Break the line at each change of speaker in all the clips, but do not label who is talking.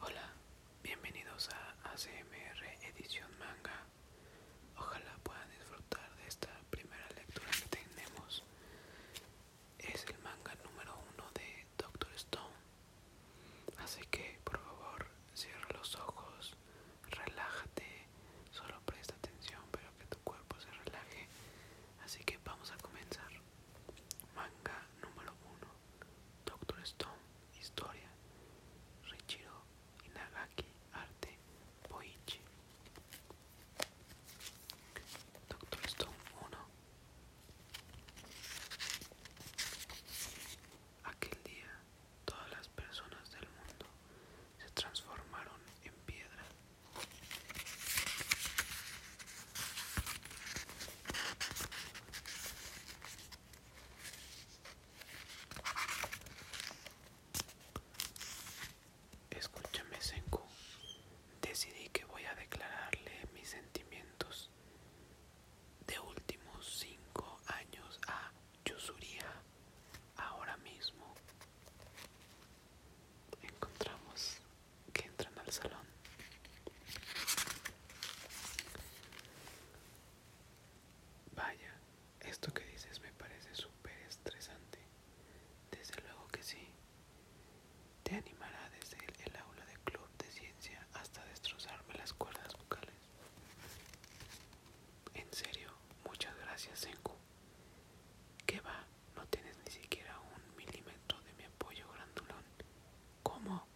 Hola, bienvenidos a ACMR Edición Manga. Ojalá puedan disfrutar de esta primera lectura que tenemos. Es el manga número uno de Doctor Stone. Así que por favor cierra los ojos, relájate, solo presta atención pero que tu cuerpo se relaje. Así que vamos a comenzar. Manga número uno. Doctor Stone, Historia, Richiro Inagaki, Arte, Poichi Doctor Stone 1. Aquel día todas las personas del mundo se transformaron en piedra. Escúchame, Senku. Decidí que voy a declararle mis sentimientos de últimos cinco años a Yusuria ahora mismo. Encontramos que entran al salón. Vaya, esto que dices me parece súper estresante. Desde luego que sí. Te animará desde el, aula de club de ciencia hasta destrozarme las cuerdas vocales. En serio, muchas gracias, Senku. ¿Qué va? no tienes ni siquiera un milímetro de mi apoyo grandulón. ¿Cómo?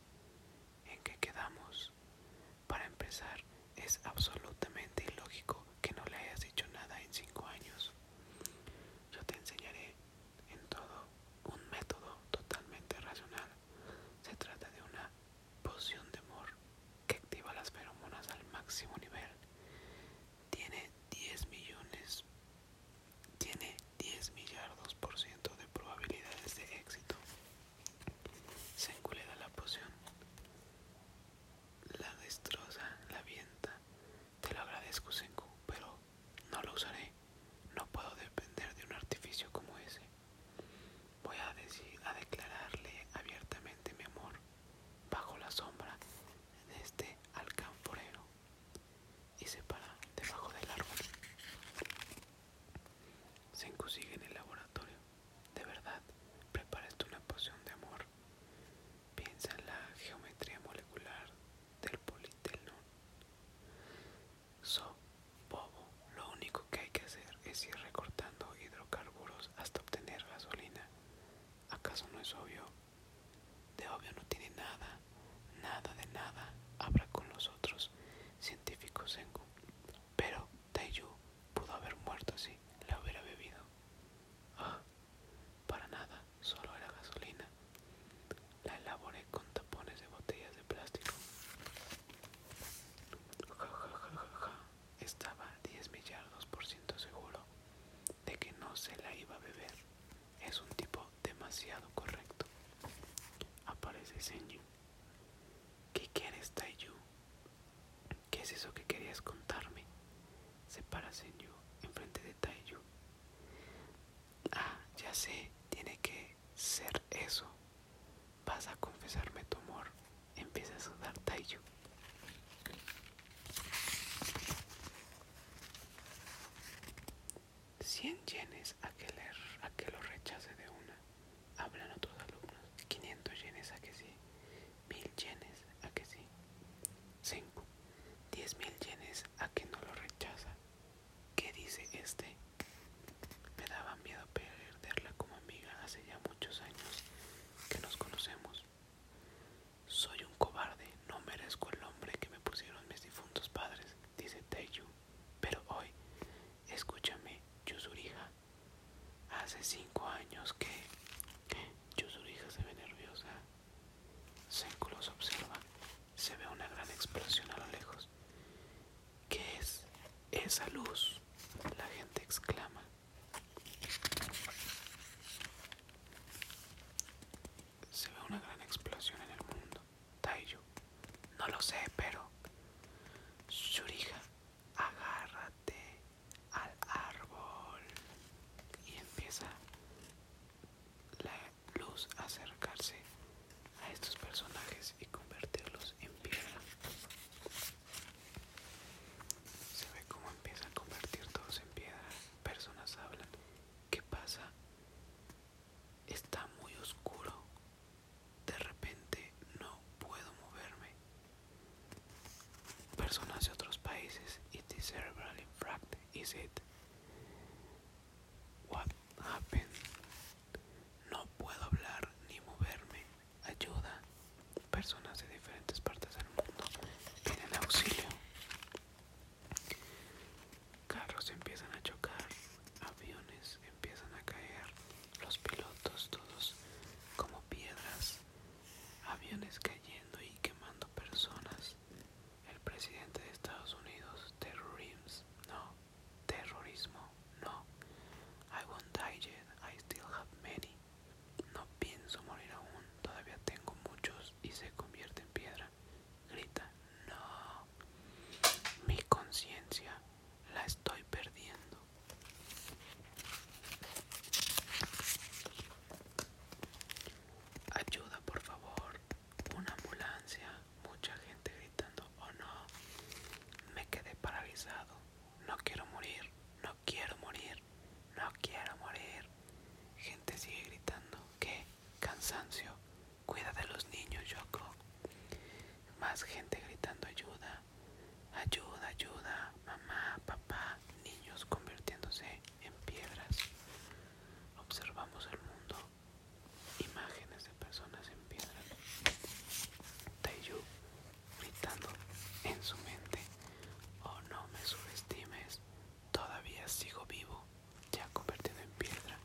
¿En qué quedamos? Para empezar, es absolutamente ilógico que no le hayas dicho nada en cinco años. Yo te enseñaré en todo un método totalmente racional. Se trata de una poción de amor que activa las feromonas al máximo nivel. Tiene 10 millones tiene 10 millardos por ciento de probabilidades de éxito. le da la poción, la destroza, la vienta. Te lo agradezco, Senku, pero no lo usaré. No puedo depender de un artificio como ese. Voy a, decir, a declararle abiertamente mi amor bajo la sombra de este alcanforero y se para debajo del árbol. se sigue en el laboratorio. De verdad, preparaste una poción de amor. Piensa en la geometría molecular del politelón. So, bobo, lo único que hay que hacer es ir recortando hidrocarburos hasta obtener gasolina. ¿Acaso no es obvio? De obvio no tiene nada, nada de nada, habla con los otros científicos Pero Taiyu pudo haber muerto así la hubiera bebido. Ah, para nada, solo era gasolina. La elaboré con tapones de botellas de plástico estaba 10 millardos por ciento seguro de que no se la iba a beber. Es un tipo demasiado correcto. Aparece Senju. ¿Qué quieres, Taiyu? ¿Qué es eso que querías contarme? Se para enfrente de Taiyu. Ah, ya sé, tiene que ser eso. Vas a confesarme tu amor empieza a sudar Taiyu. 100 yenes a que, le, a que lo rechace de una, hablan otros alumnos. 500 yenes a que sí, 1000 yenes a que sí. 5. Diez yenes a que no lo rechaza. ¿Qué dice este? Me daba miedo perderla como amiga hace ya muchos años que nos conocemos. Soy un cobarde, no merezco el nombre que me pusieron mis difuntos padres, dice Teiyu. Pero hoy, escúchame, Yuzurija. Hace cinco años que... Yuzurija se ve nerviosa. Senku observa. Se ve una gran explosión a lo lejos. ¿Qué es esa luz? La gente exclama. Se ve una gran explosión en el mundo. Taiju no lo sé, pero... Shurija, agárrate al árbol. Y empieza la luz a acercarse a estos personajes y convertirlos en piedra. Se ve cómo empieza a convertir todos en piedra. Personas hablan. ¿Qué pasa? Está muy oscuro. De repente no puedo moverme. Personas de otros países. It cerebral infract, is it? What happened? No puedo hablar ni moverme ayuda. Personas de diferentes partes del mundo piden auxilio. Carros empiezan a chocar, aviones empiezan a caer, los pilotos todos como piedras, aviones cayendo y quemando personas. El presidente de Estados Unidos, Terry Reeves no, terrorismo, no. I won't die yet, I still have many. No pienso morir aún, todavía tengo muchos y se convierte en piedra. Grita, no. Mi conciencia la estoy perdiendo. Ayuda, por favor. Una ambulancia. Mucha gente gritando, oh no. Me quedé paralizado no quiero morir, no quiero morir, no quiero morir. Gente sigue gritando, que Cansancio, cuida de los niños, creo. Más gente gritando ayuda, ayuda, ayuda, mamá, papá, niños convirtiéndose en piedras. Observamos el mundo imágenes de personas en piedra. Taiyu gritando en su mente, oh no me subestimes, todavía sigo vivo, ya convertido en piedra.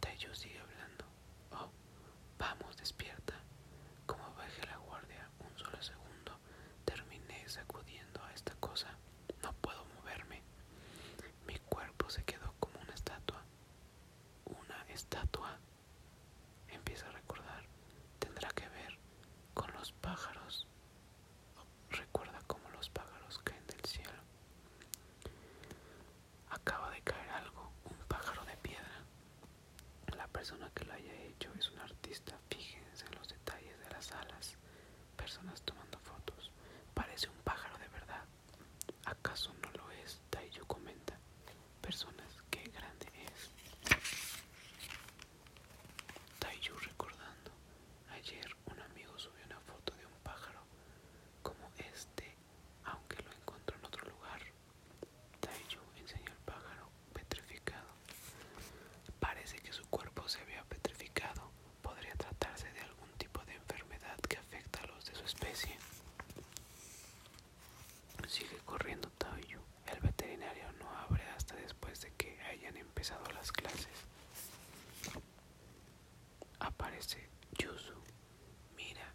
Taiyu sigue hablando, oh vamos despierta. Como bajé la guardia un solo segundo, terminé sacudiendo a esta cosa. No puedo moverme. Mi cuerpo se quedó como una estatua una estatua, empieza a recordar, tendrá que ver con los pájaros. Recuerda como los pájaros caen del cielo. Acaba de caer algo, un pájaro de piedra. La persona que lo haya hecho es un artista. Fíjense en los detalles de las alas. Personas tomando fotos. Parece un pájaro de verdad. ¿Acaso no lo es? Taiyu comenta. Personas, qué grande es. Taiyu recordando. Ayer un amigo subió una foto de un pájaro como este, aunque lo encontró en otro lugar. Taiyu enseñó el pájaro petrificado. Parece que su cuerpo se había petrificado. Podría tratarse de algún tipo de enfermedad que afecta a los de su especie. Sigue corriendo Taoyu. El veterinario no abre hasta después de que hayan empezado las clases. Aparece Yuzu. Mira,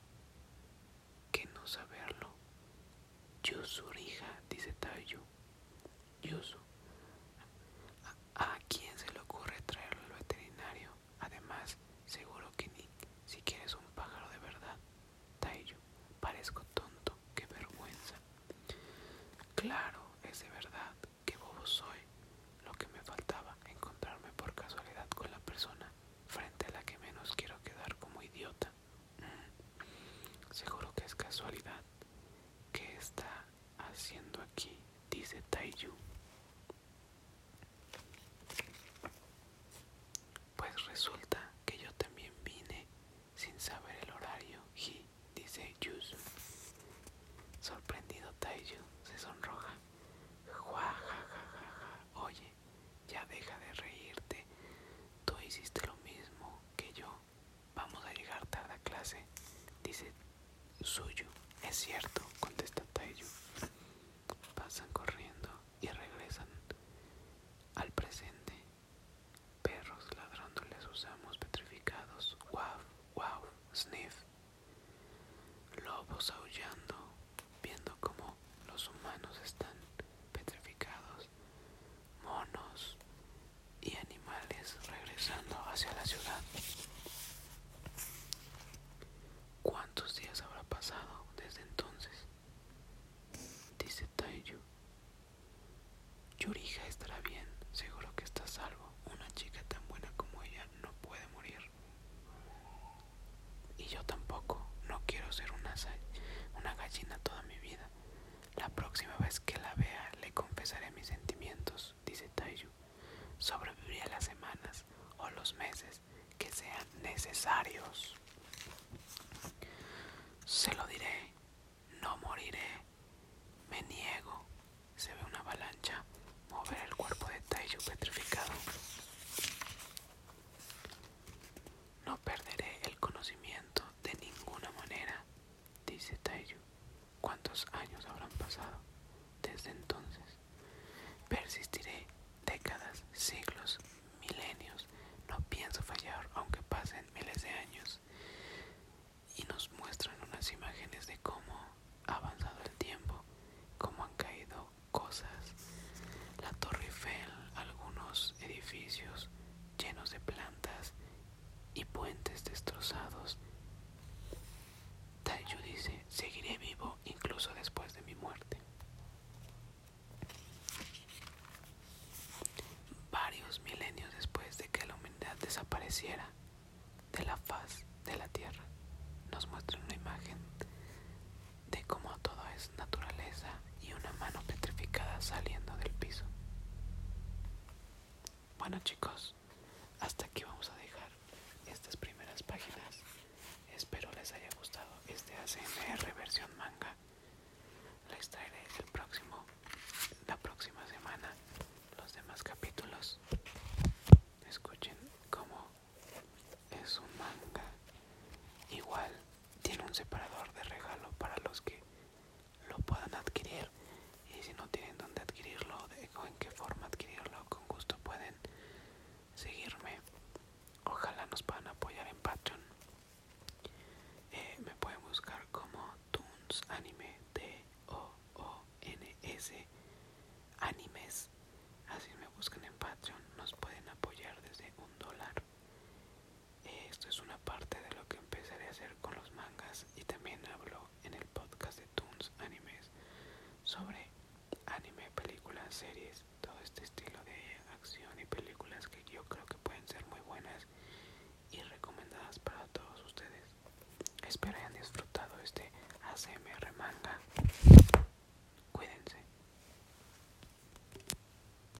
que no saberlo. Yuzu Rija, dice Taoyu. Yuzu. ¿A quién se le ocurre traerlo al veterinario? Además, seguro que Nick, si quieres un pájaro de verdad, Tayo parezco tonto, qué vergüenza. Claro, es de verdad, qué bobo soy. Lo que me faltaba, encontrarme por casualidad con la persona frente a la que menos quiero quedar como idiota. Mm, seguro que es casualidad que está haciendo aquí? Dice Taiyu. Pues resulta que yo también vine sin saber el horario, y dice Yuzu. Sorprendido Taiyu se sonroja. Oye, ya deja de reírte. Tú hiciste lo mismo que yo. Vamos a llegar tarde a clase, dice suyo. Es cierto, contesta Taiyu. Pasan corriendo y regresan al presente. Perros ladrándoles, usamos petrificados. guau, guau, sniff. Lobos aullando, viendo como los humanos están petrificados. Monos y animales regresando hacia la ciudad. ¿Cuántos días habrá pasado desde entonces? Dice Taiyu. Yurija estará bien, seguro que está salvo. Una chica tan buena como ella no puede morir. Y yo tampoco, no quiero ser una gallina toda mi vida. La próxima vez que la vea le confesaré mis sentimientos dice Taiyu, sobreviviré las semanas o los meses que sean necesarios. Se lo diré, no moriré, me niego. Se ve una avalancha mover el cuerpo de Taiyu petrificado. No perderé el conocimiento de ninguna manera dice Taiyu. ¿Cuántos años habrán pasado desde entonces? Persistiré décadas, siglos, milenios. No pienso fallar aunque pasen miles de años. Y nos muestran unas imágenes de cómo ha avanzado el tiempo, cómo han caído cosas. La Torre Eiffel, algunos edificios llenos de plantas y puentes destrozados. Taiyu dice, seguiré vivo incluso después de mi muerte. Varios milenios después de que la humanidad desapareciera de la faz de la Tierra, nos muestra una imagen de cómo todo es naturaleza y una mano petrificada saliendo del piso. Bueno chicos, hasta aquí vamos a dejar estas primeras páginas. Espero les haya gustado este ACNR versión manga. la extraeré el próximo, la próxima semana los demás capítulos. Escuchen cómo es un manga. Igual tiene un separador de regalo para los que lo puedan adquirir y si no tienen dónde adquirirlo o en qué forma adquirirlo con gusto pueden seguirme ojalá nos puedan apoyar en Patreon eh, me pueden buscar como Toons Anime de O O N S Animes así me buscan en Patreon nos pueden apoyar desde un dólar esto es una parte de lo que empezaré a hacer con los mangas y también hablo en el podcast de Toons Animes sobre anime, películas, series, todo este estilo de acción y películas que yo creo que pueden ser muy buenas y recomendadas para todos ustedes. Espero hayan disfrutado este ACMR manga. Cuídense.